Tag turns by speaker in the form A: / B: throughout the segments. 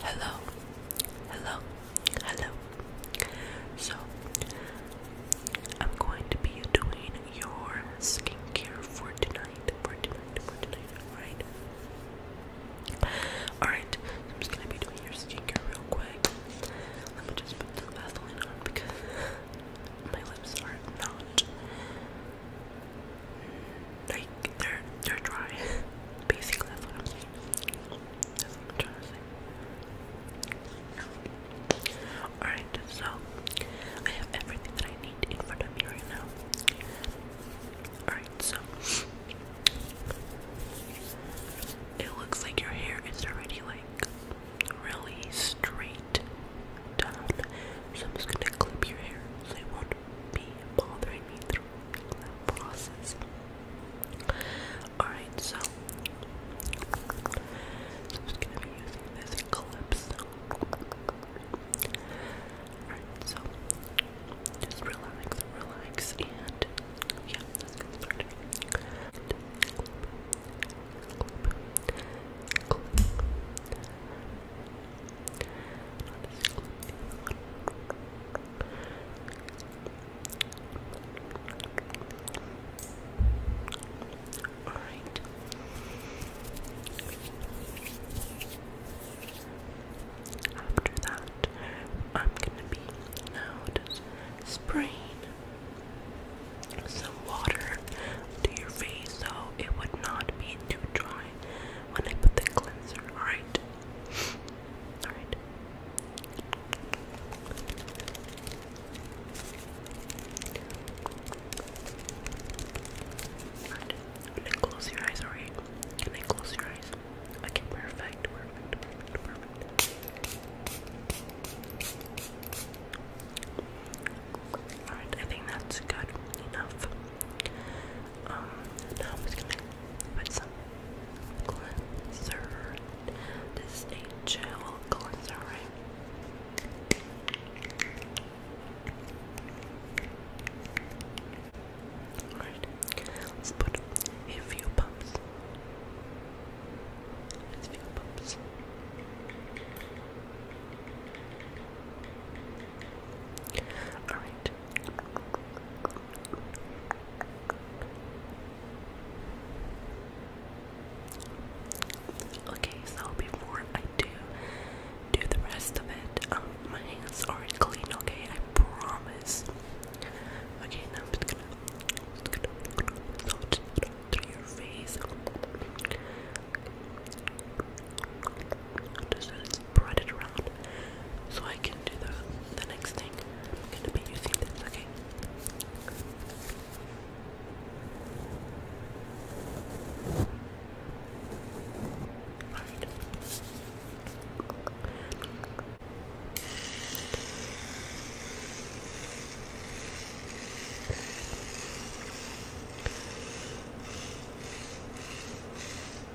A: Hello, hello, hello. So, I'm going to be doing your skincare for tonight, for tonight, for tonight, alright? Alright, I'm just gonna be doing your skincare real quick. Let me just put the Vaseline on because my lips are not like they're they're dry. Basically that's what I'm saying. trying to say. Alright, so I have everything that I need in front of me right now. Alright, so it looks like your hair is already like really straight down. So I'm just gonna clip your hair so it won't be bothering me process. Alright, so, I'm just gonna be using this clips. Alright, so just relax, relax, and yeah, all right. After that, I'm gonna be now spraying some water to your face so it would not be too dry when I put the cleanser, alright? Alright. I'm gonna close your eyes, alright? Can I close your eyes? Okay, perfect, perfect, perfect, perfect. Alright, I think that's good enough. Um, I'm just gonna put some cleanser. This is a gel cleanser, right? Alright, let's put a few pumps. A few pumps. Alright, Okay, so before I do do the rest of it, um, my hands are clean. Okay, I promise. Okay, now I'm just gonna, just gonna so just through your face. Just, just spread it around so I can do the, the next thing. I'm going to be using this, okay? Alright. All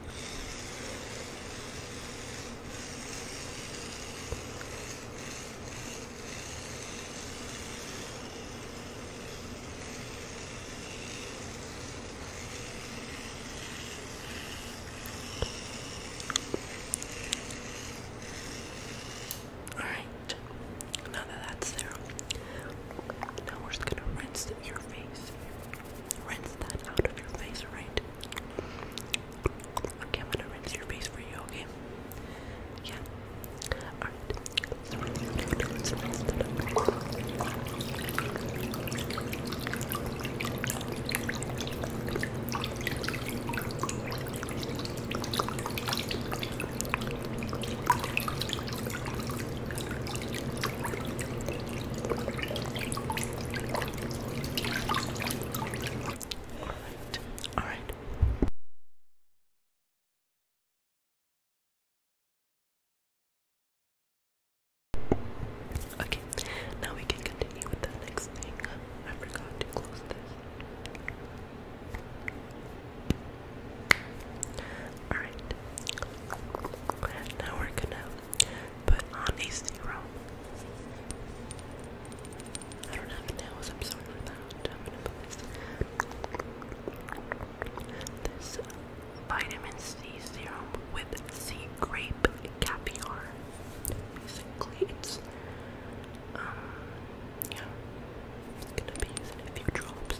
A: right. Now that that's there, now we're just gonna rinse your face rinse that out of your face, right? Okay, I'm gonna rinse your face for you, okay? Yeah. Alright. Alright. Alright. Okay, now we can continue with the next thing. I forgot to close this. Alright. Now we're gonna put on a zero. I don't have nails, i that. I'm gonna put this. vitamin C serum with sea grape caviar. Basically, it's, um, yeah, it's gonna be using a few drops.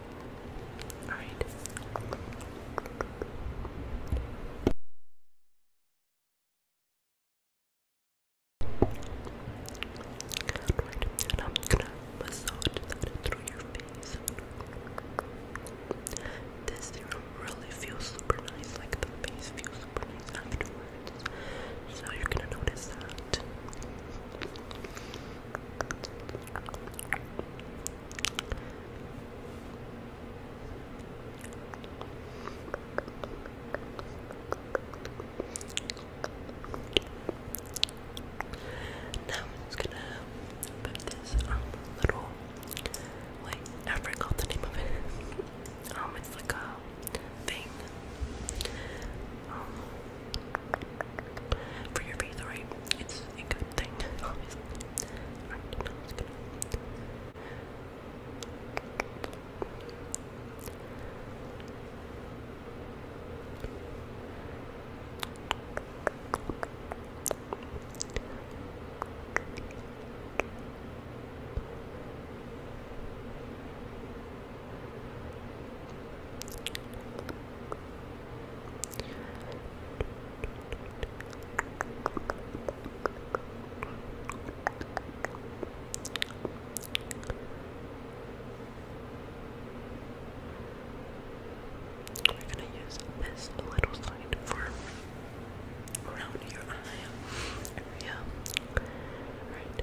A: Alright. and I'm gonna massage that through your face. This serum really feels super nice, like the face feels super nice afterwards. So you're gonna notice that. Now I'm just gonna put this um little like I forgot the name of it. Um it's like a thing. Um, for your face, alright? It's a good thing,
B: we're gonna use this little side for around your eye area. Alright.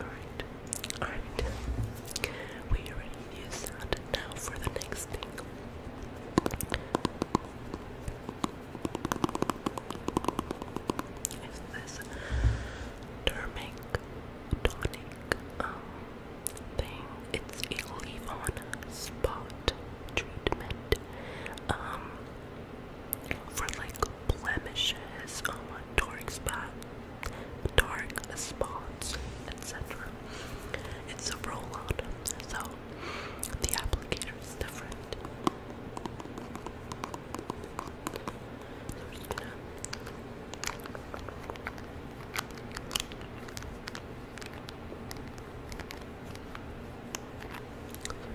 B: Alright, alright. We already used that. Now for the next thing. Is this turmeric tonic um, thing? It's a leave-on spot treatment. Um for like blemishes um, toric spots dark spots, etc. It's a rollout, so the applicator is different. so we're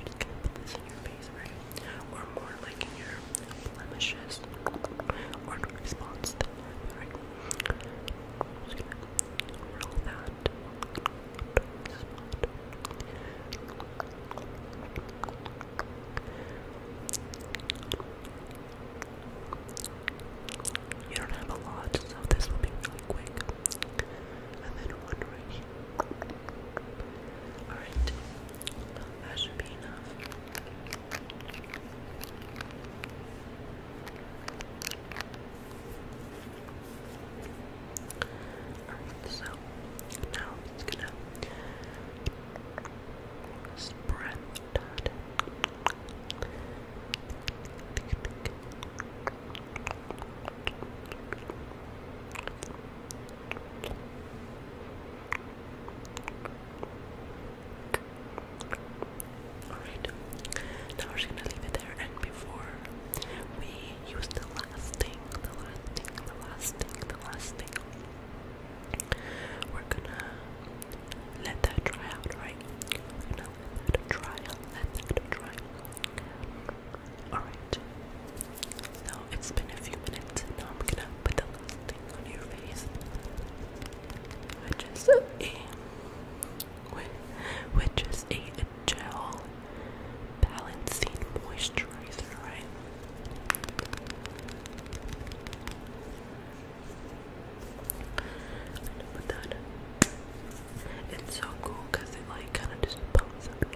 B: just gonna put this in your face, right? or more like your blemishes or response just gonna roll that You don't have a lot, so this will be really quick. And then one right here. Alright, that Alright, so now i gonna spread that. Alright, now we're just gonna leave it there. And before we use the last thing, the last thing, the last thing, the last thing, we're gonna let that dry out, right? we let that dry out, let that dry Alright, so it's been a few minutes, now I'm gonna put the last on your face, which is a which is a gel balancing moisturizer, right? It's so cool because it like kind of just pumps up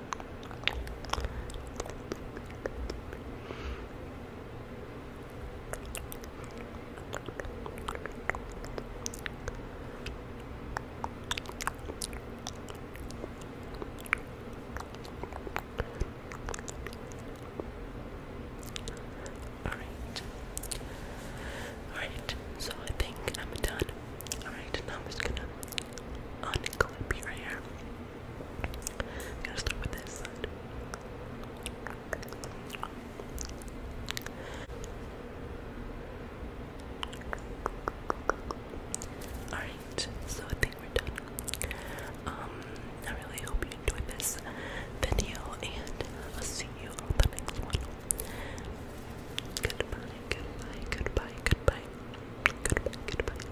B: Alright. Alright, so I think I'm done. Alright, now I'm just gonna unclip your hair. I'm gonna start with this side. Alright, so I think we're done. Um, I really hope you enjoyed this video, and I'll see you on the next one. Goodbye, goodbye, goodbye, goodbye, goodbye, goodbye.